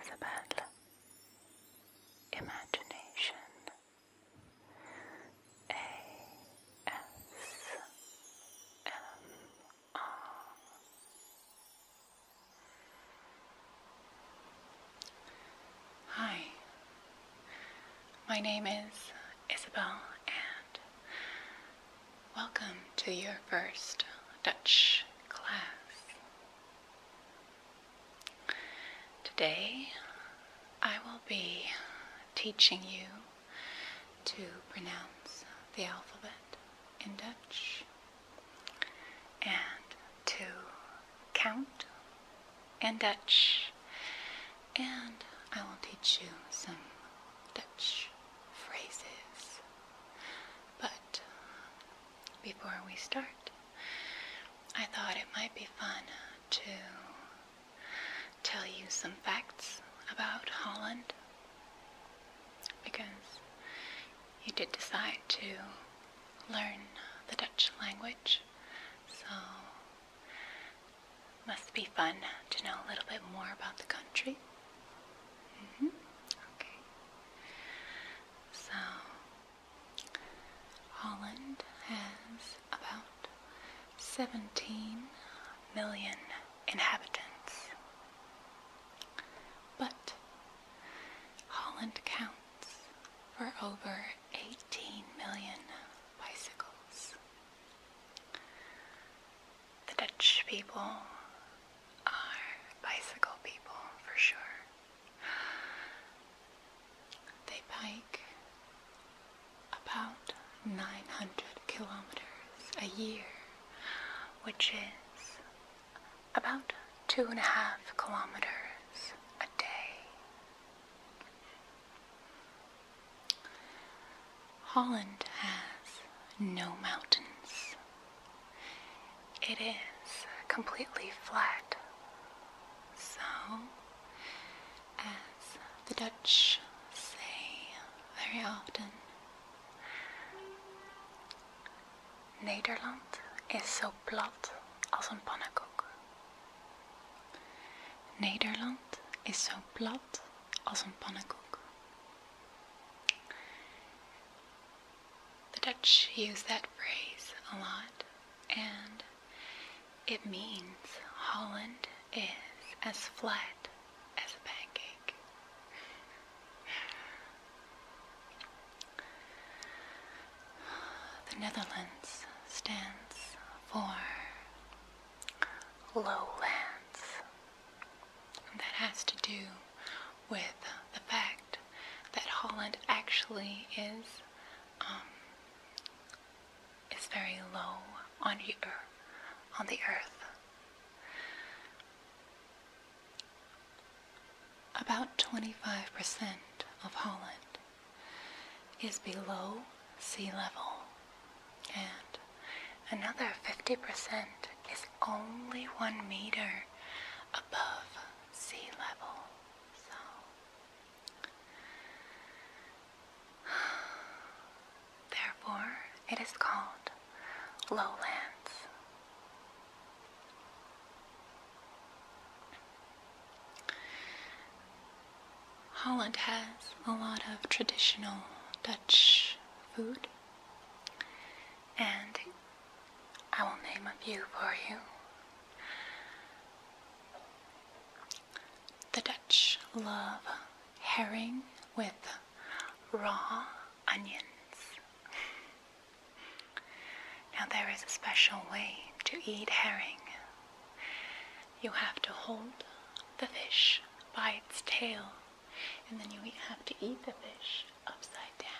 Isabel. imagination. A S M R. Hi, my name is Isabel, and welcome to your first Dutch class. Today I will be teaching you to pronounce the alphabet in Dutch and to count in Dutch and I will teach you some Dutch phrases. But before we start, I thought it might be fun to tell you some facts about Holland because you did decide to learn the Dutch language, so must be fun to know a little bit more about the country. -hmm. Okay. So, Holland has about 17 million inhabitants. But Holland counts for over 18 million bicycles. The Dutch people are bicycle people for sure. They bike about 900 kilometers a year, which is about two and a half kilometers a day. Holland has no mountains. It is completely flat. So, as the Dutch say very often, Nederland is zo plat als een pannenkoek. Nederland is zo plat als een pannenkoek. The Dutch use that phrase a lot, and it means Holland is as flat as a pancake. The Netherlands stands for lowlands that has to do with the fact that Holland actually is um, is very low On the earth. About 25% of Holland is below sea level, and another 50% is only one meter above sea level. So, therefore, it is called lowlands. Holland has a lot of traditional Dutch food, and I will name a few for you. The Dutch love herring with raw onions. Now, there is a special way to eat herring. You have to hold the fish by its tail and then you have to eat the fish upside down.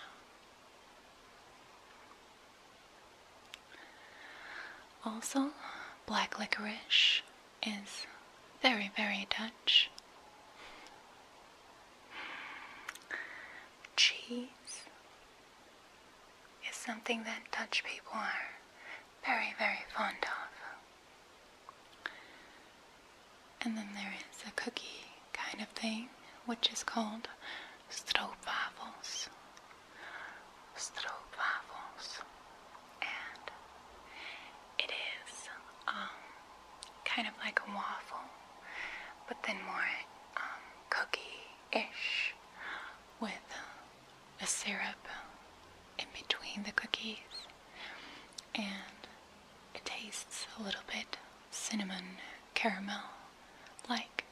Also, black licorice is very, very Dutch. Cheese is something that Dutch people are very, very fond of. And then there is a cookie kind of thing, which is called stroopwafels. Stroopwafels. And it is um, kind of like a waffle, but then more um, cookie-ish with a syrup in between the cookies. And it tastes a little bit cinnamon caramel like,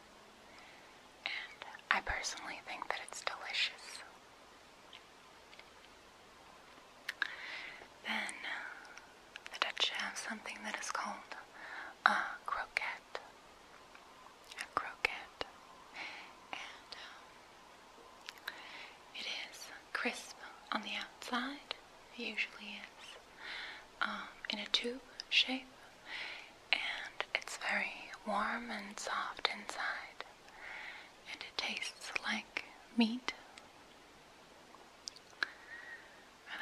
and I personally think that it's delicious. Then uh, the Dutch have something that is called a croquette. A croquette. And um, it is crisp on the outside it usually is, um, in a tube shape, and it's very warm and soft inside, and it tastes like meat.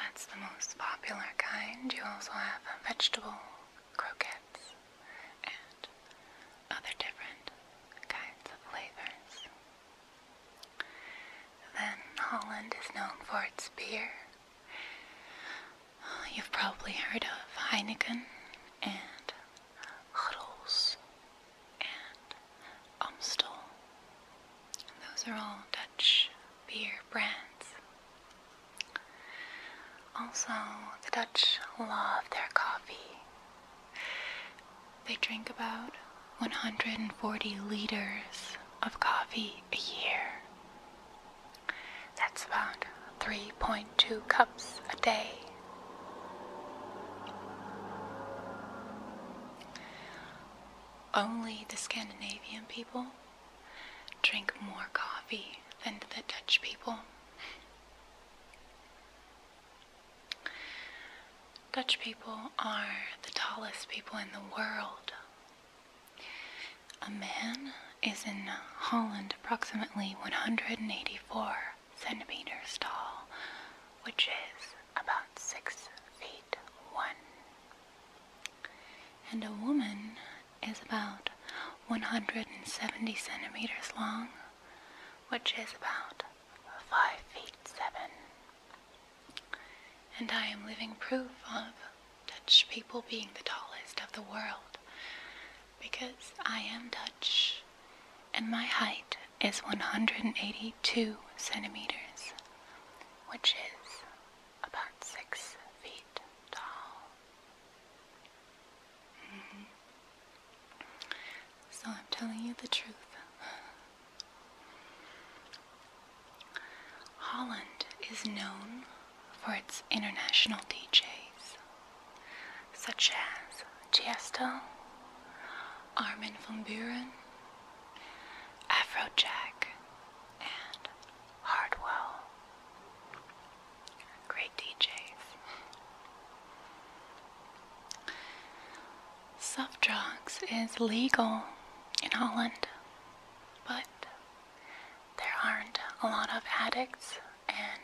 That's the most popular kind. You also have vegetable croquettes and other different kinds of flavors. Then Holland is known for its beer. Uh, you've probably heard of Heineken and Grols and Amstel. Those are all Dutch beer brands. Also, the Dutch love their coffee. They drink about 140 liters of coffee a year. That's about 3.2 cups a day. Only the Scandinavian people drink more coffee than the Dutch people. Dutch people are the tallest people in the world. A man is in Holland approximately 184 centimeters tall, which is about 6 feet 1. And a woman is about 170 centimeters long, which is about 5 feet 7. And I am living proof of Dutch people being the tallest of the world because I am Dutch and my height is 182 centimeters, which is about six feet tall. Mm-hmm. So I'm telling you the truth. Holland is known for its international DJs, such as Tiesto, Armin van Buren, Afrojack, and Hardwell. Great DJs. Soft drugs is legal in Holland, but there aren't a lot of addicts, and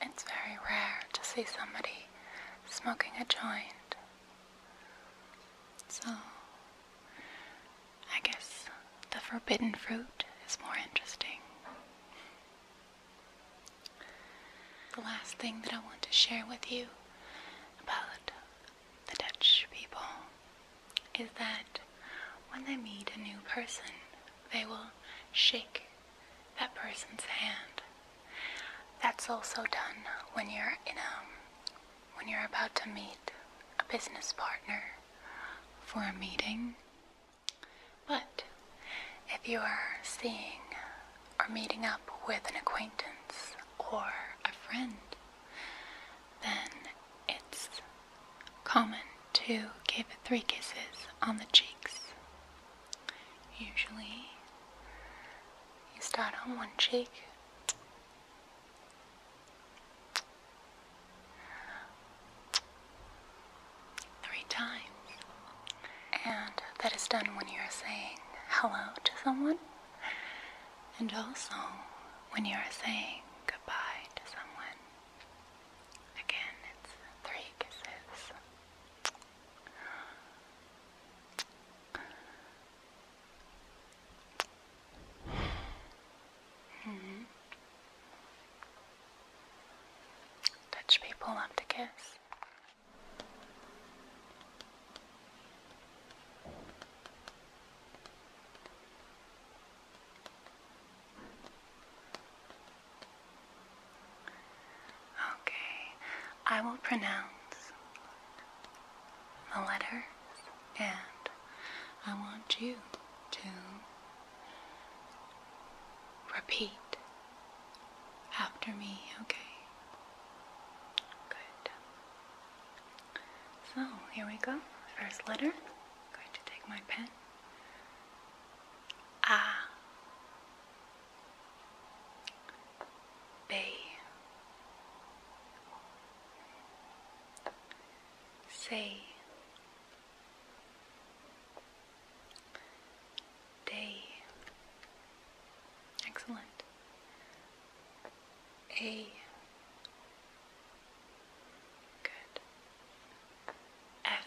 it's very rare to see somebody smoking a joint. So, I guess the forbidden fruit is more interesting. The last thing that I want to share with you about the Dutch people is that when they meet a new person, they will shake that person's hand. That's also done when you're in a, when you're about to meet a business partner for a meeting. But if you are seeing or meeting up with an acquaintance or a friend, then it's common to give three kisses on the cheeks. Usually, you start on one cheek. Three times. And that is done when you're saying hello to someone. And also, when you are saying goodbye to someone, again, it's three kisses. mm people love to Okay, I will pronounce the letter, and I want you to repeat after me, okay? Good. So here we go. First letter. i going to take my pen. A B C D Excellent. A. Good. F, F.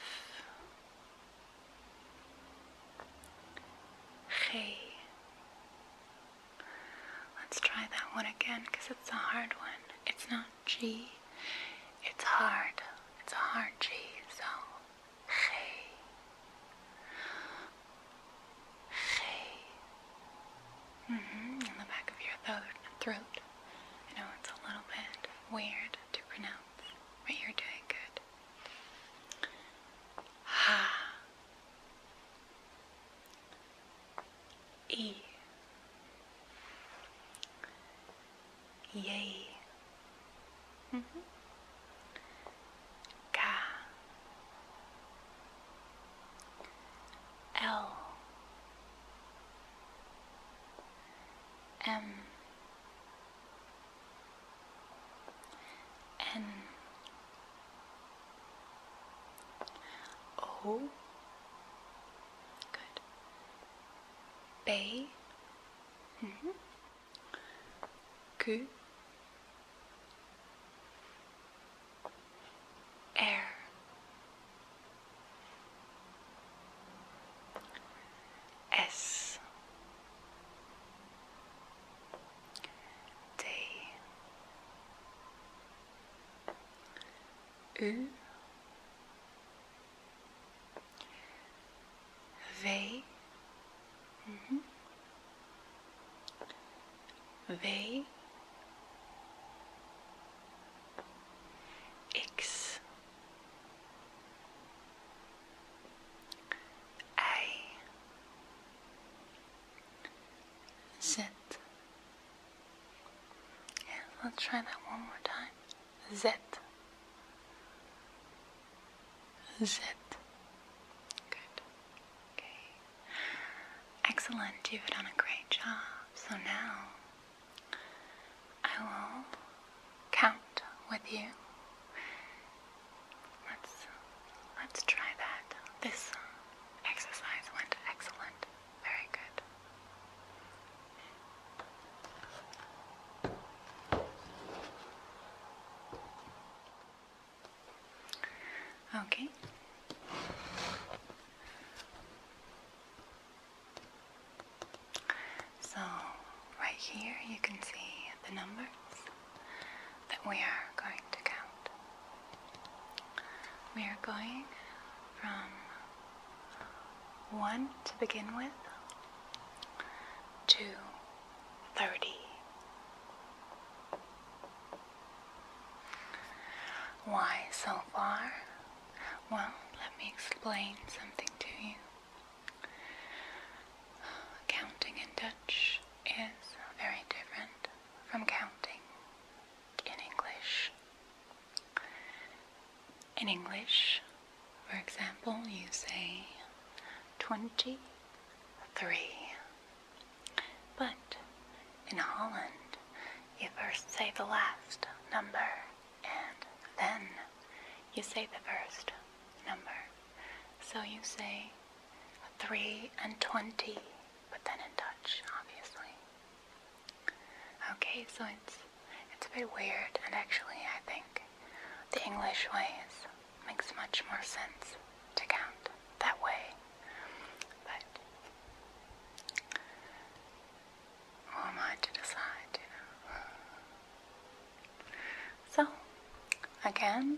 G. Let's try that one again because it's a hard one. It's not G. It's hard. It's a hard G. So, G. Hey. Mm hmm in the back of your throat. throat. know it's a little bit weird to pronounce, but you're doing good. Ha. E. Yay. Mm hmm K L M N O Good. B -hmm. Q air. S T U V V. Mm-hmm. let's try that one more time. Z zit. Good. Okay. Excellent. You've done a great job. So now I will count with you. Let's let's try that. This exercise went excellent. Very good. Okay. So, right here you can see the numbers that we are going to count. We are going from 1 to begin with to 30. Why so far? Well, let me explain something to you. Counting in Dutch is very different from counting in English. In English, for example, you say 23 but in Holland, you first say the last number and then you say the first number. So you say 3 and 20, but then in Dutch, obviously. Okay, so it's, it's a bit weird, and actually I think the English way is makes much more sense to count that way. But who am I to decide, you know? So, again,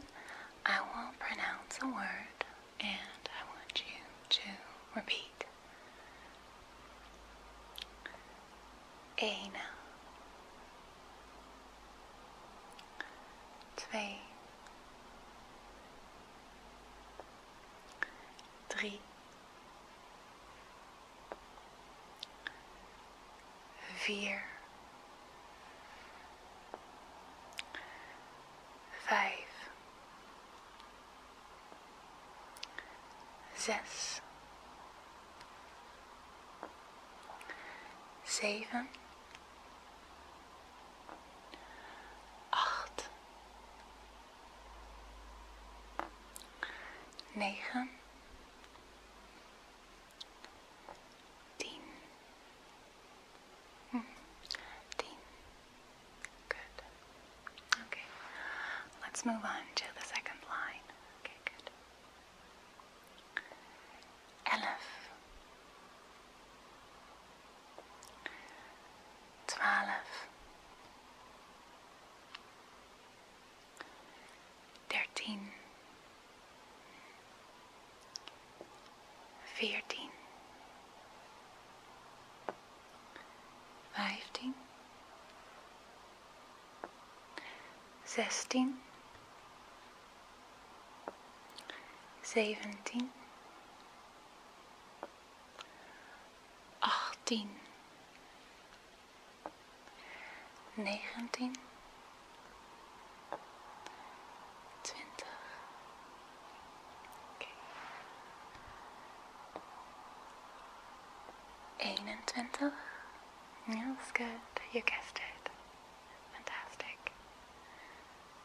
I will pronounce a word and I want you to repeat. Aina. twee, drie, vier, vijf, zes, zeven. acht, negen, hm. Good. Okay, let's move on to the second line. Okay, good. elf, twaalf, dertien, veertien, vijftien, zestien. zeventien, achttien, negentien, twintig. Okay. Eenentwintig. Yeah, that's good. You guessed it. Fantastic.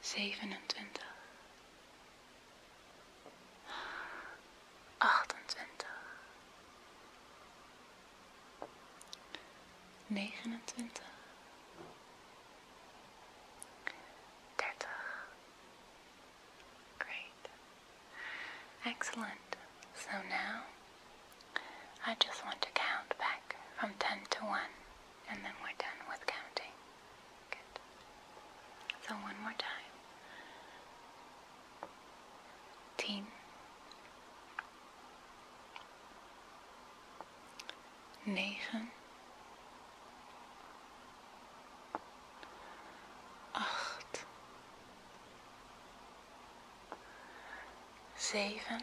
zevenentwintig, achtentwintig, negenentwintig, dertig. Great. Excellent. So now I just want to count back from 10 to 1 and then we're done with counting. Good. So one more time. Teen. Negen. Acht. Zeven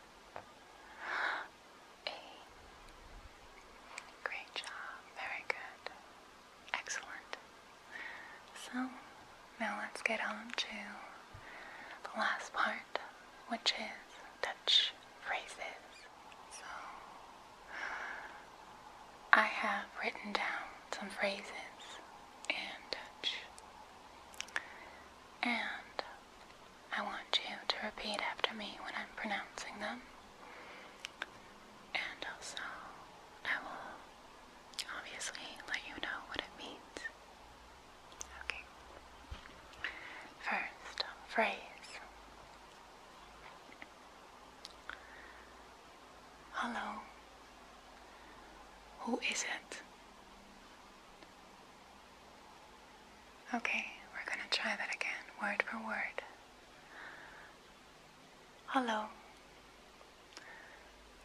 Great job. Very good. Excellent. So, now let's get on to the last part, which is Dutch phrases. So, I have written down some phrases in Dutch. And I want you to repeat after me when I'm pronouncing them. And also, I will obviously let you know what it means. Okay. First phrase Hello. Who is it? Okay, we're gonna try that again, word for word. Hello.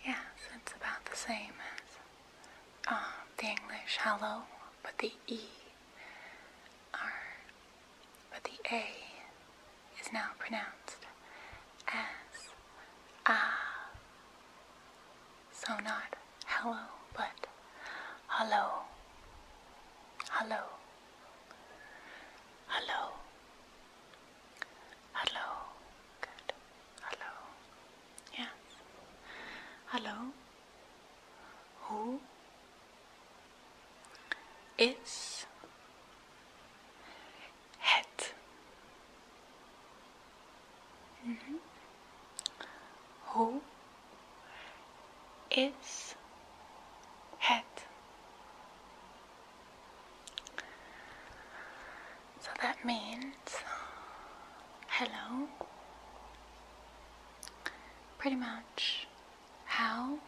Yes, it's about the same as um, the English hello, but the E but the A is now pronounced as ah. So not hello, but hello, hello, hello, hello. Good. Hello. Yes. Hello. Who is het? Mm-hmm. Who is head? So that means hello. Pretty much how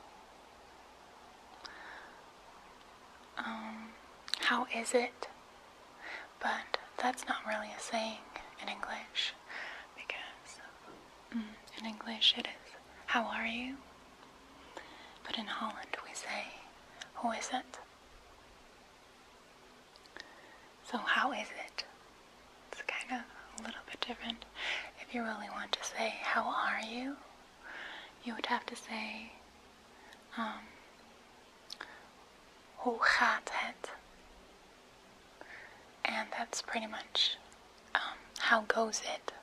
um, how is it but that's not really a saying in English because mm, in English it is, how are you? But in Holland we say, "Who is it? So how is it? It's kind of a little bit different. If you really want to say, how are you? You would have to say, um, Hoe gaat het? And that's pretty much um, how goes it.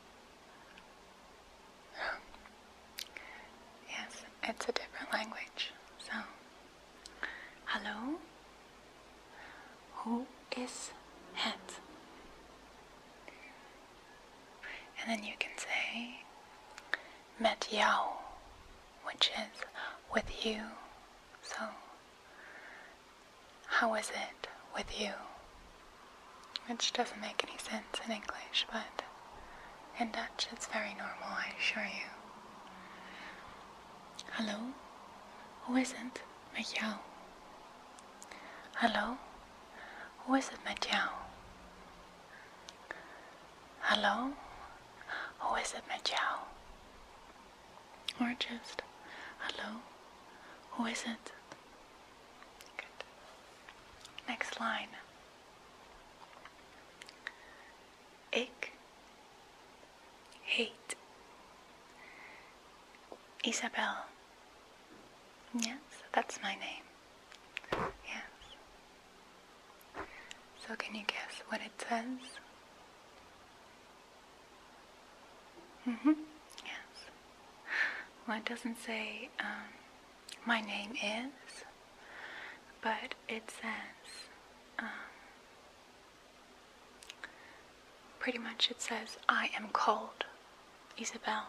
yes, it's a different language. So, hello? Who is het? And then you can say met jou which is with you. So, how is it with you? Which doesn't make any sense in English, but in Dutch it's very normal, I assure you. Hello, who is it, het Hello, who is it, hoe hello, or is it my ciao? Or just hello, who is it? Good. Next line. Ik Hate. Isabel. Yes, that's my name. Yes. So can you guess what it says? Mm-hmm, yes. Well, it doesn't say, um, my name is, but it says, um, pretty much it says, I am called Isabel.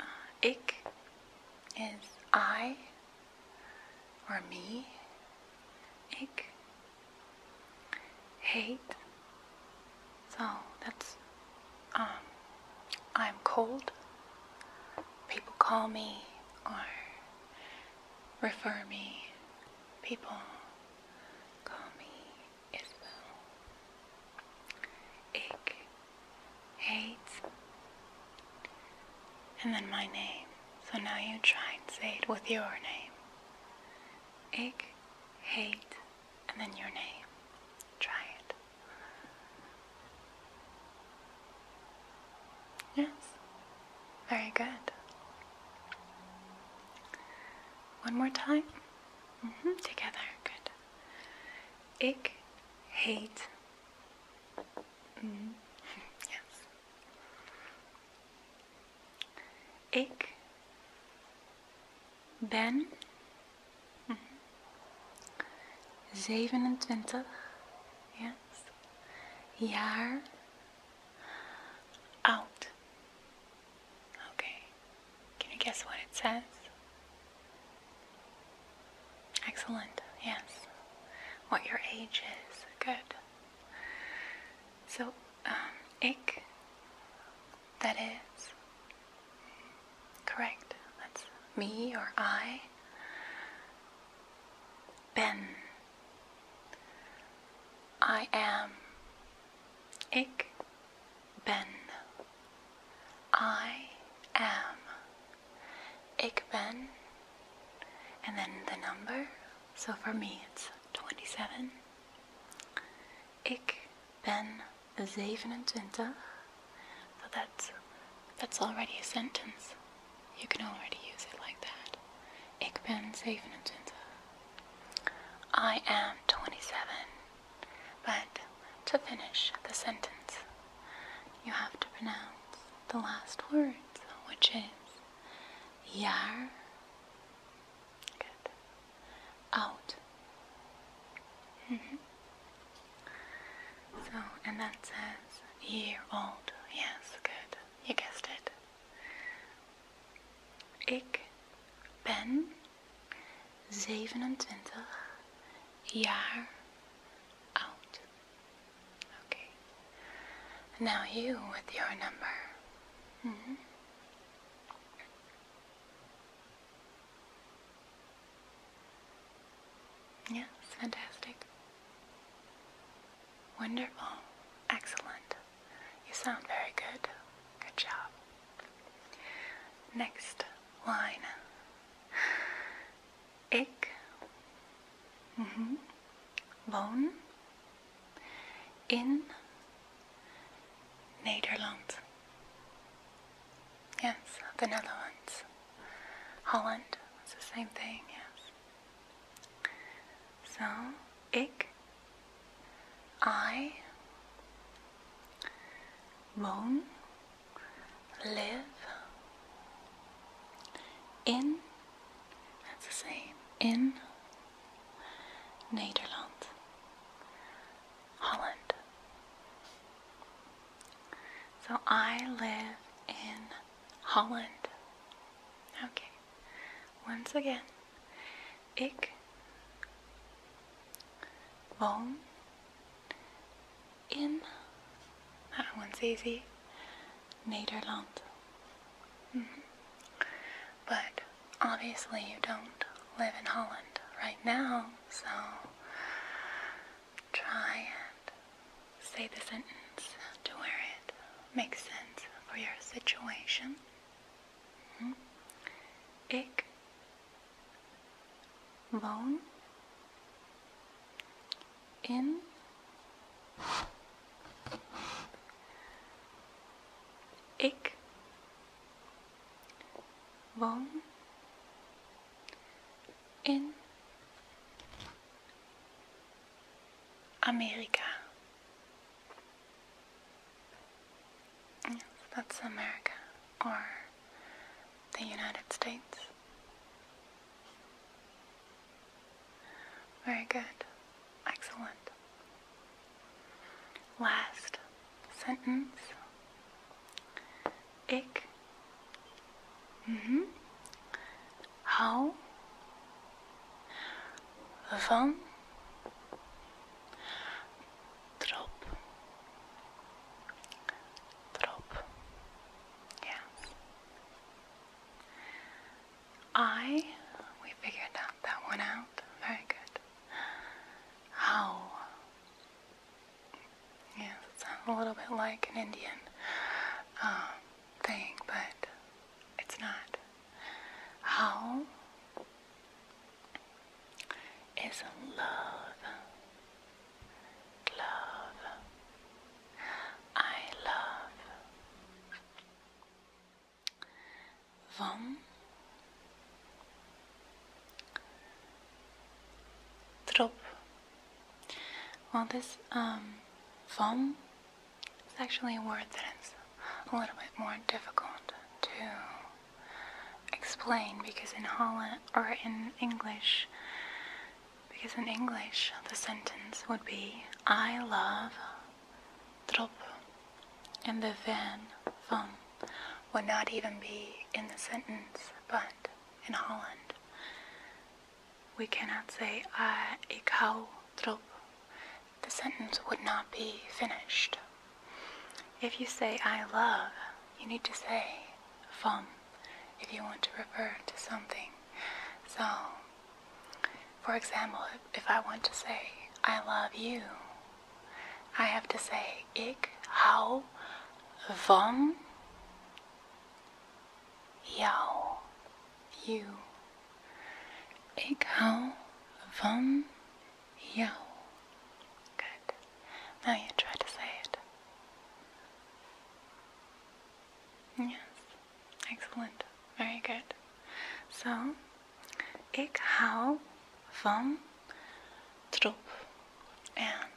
Uh, is I, or me. I hate. So that's, um, I'm cold. People call me or refer me. People call me Isabel. I eight, and then my name. So now you try and say it with your name. Ik, hate, and then your name. Try it. Yes, very good. One more time. Mm-hmm. Together, good. Ik, hate. Mm -hmm. ben mm -hmm. 27 yes. jaar oud. Okay, can you guess what it says? Excellent, yes. What your age is, good. So, um, ik, that is correct. That's me or I. Ben, I am. Ik ben. I am. Ik ben, and then the number. So for me it's 27. Ik ben 27. So that's that's already a sentence. You can already use it like that. Ik ben 27. I am 27. But to finish the sentence, you have to pronounce the last words, which is yar. Good. Out. Mm-hmm. So, and that says year old. Yes, good. You guessed it. Ik ben 27 jaar oud. Okay. Now you with your number. Mm-hmm. Yes, fantastic. Wonderful. Excellent. You sound very good. Good job. Next line. Ik -hmm. woon, in Nederland. Yes, the Netherlands. Holland It's the same thing, yes. So, ik, I, woon, live in, that's the same, in Nederland, Holland. So I live in Holland. Okay, once again, ik woon in, that one's easy, Nederland. Mm-hmm. But obviously you don't live in Holland right now, so try and say the sentence to where it makes sense for your situation. Mm-hmm. Ik woon in ik woon in Amerika. that's America or the United States. Very good. Excellent. Last sentence. Ik. Mm-hmm. Hou. Van. Trop. Trop. Yes. I, we figured out that one out. Very good. How? Yeah, it sounds a little bit like an Indian um, thing, but it's not. How is love? love. I love. Vom trop. Well, this um, vom is actually a word that is a little bit more difficult to explain because in Holland or in English because in English, the sentence would be I love trop and the van van would not even be in the sentence, but in Holland, we cannot say I ik hou The sentence would not be finished. If you say I love, you need to say van if you want to refer to something. So, for example, if I want to say, I love you, I have to say, ik hau vom jou, you. Ik hou van jou. Good. Now you try to say it. Yes. Excellent. Very good. So, ik how from trop. And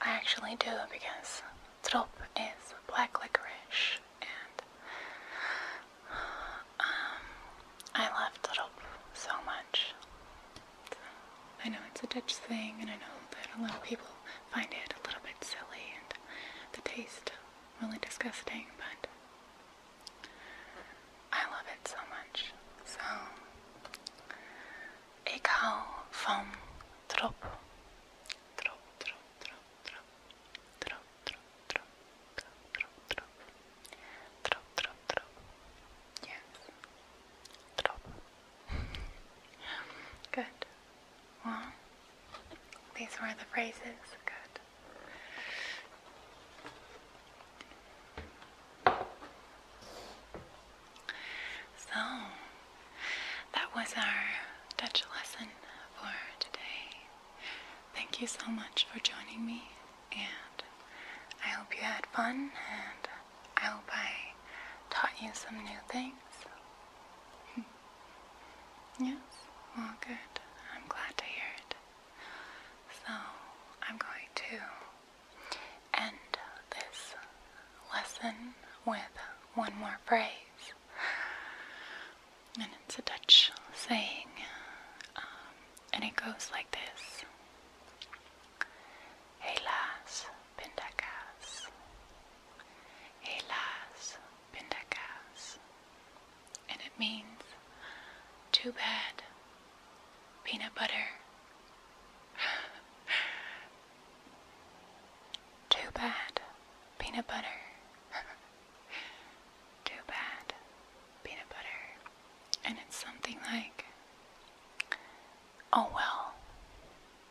I actually do because trop is black licorice and um, I love trop so much. I know it's a Dutch thing, and I know that a lot of people find it a little bit silly and the taste really disgusting, but I love it so much. So, ik hou van trop. Trop, trop, trop, trop. Trop, trop, trop, trop, trop, trop. Trop, trop, Yes. Good. Well, these were the phrases. Good. So, that was our Dutch lesson for today. Thank you so much for joining me, and I hope you had fun and I hope I taught you some new things. yes? Well, good. I'm glad to hear it. So, I'm going to end this lesson with one more phrase. And it's a Dutch saying, um, and it goes like this Helaas, pindakaas. Helaas, pindakaas. And it means too bad, peanut butter. too bad, peanut butter. too bad, peanut butter. And it's something like, oh well,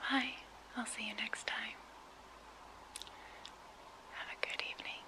Bye. I'll see you next time. Have a good evening.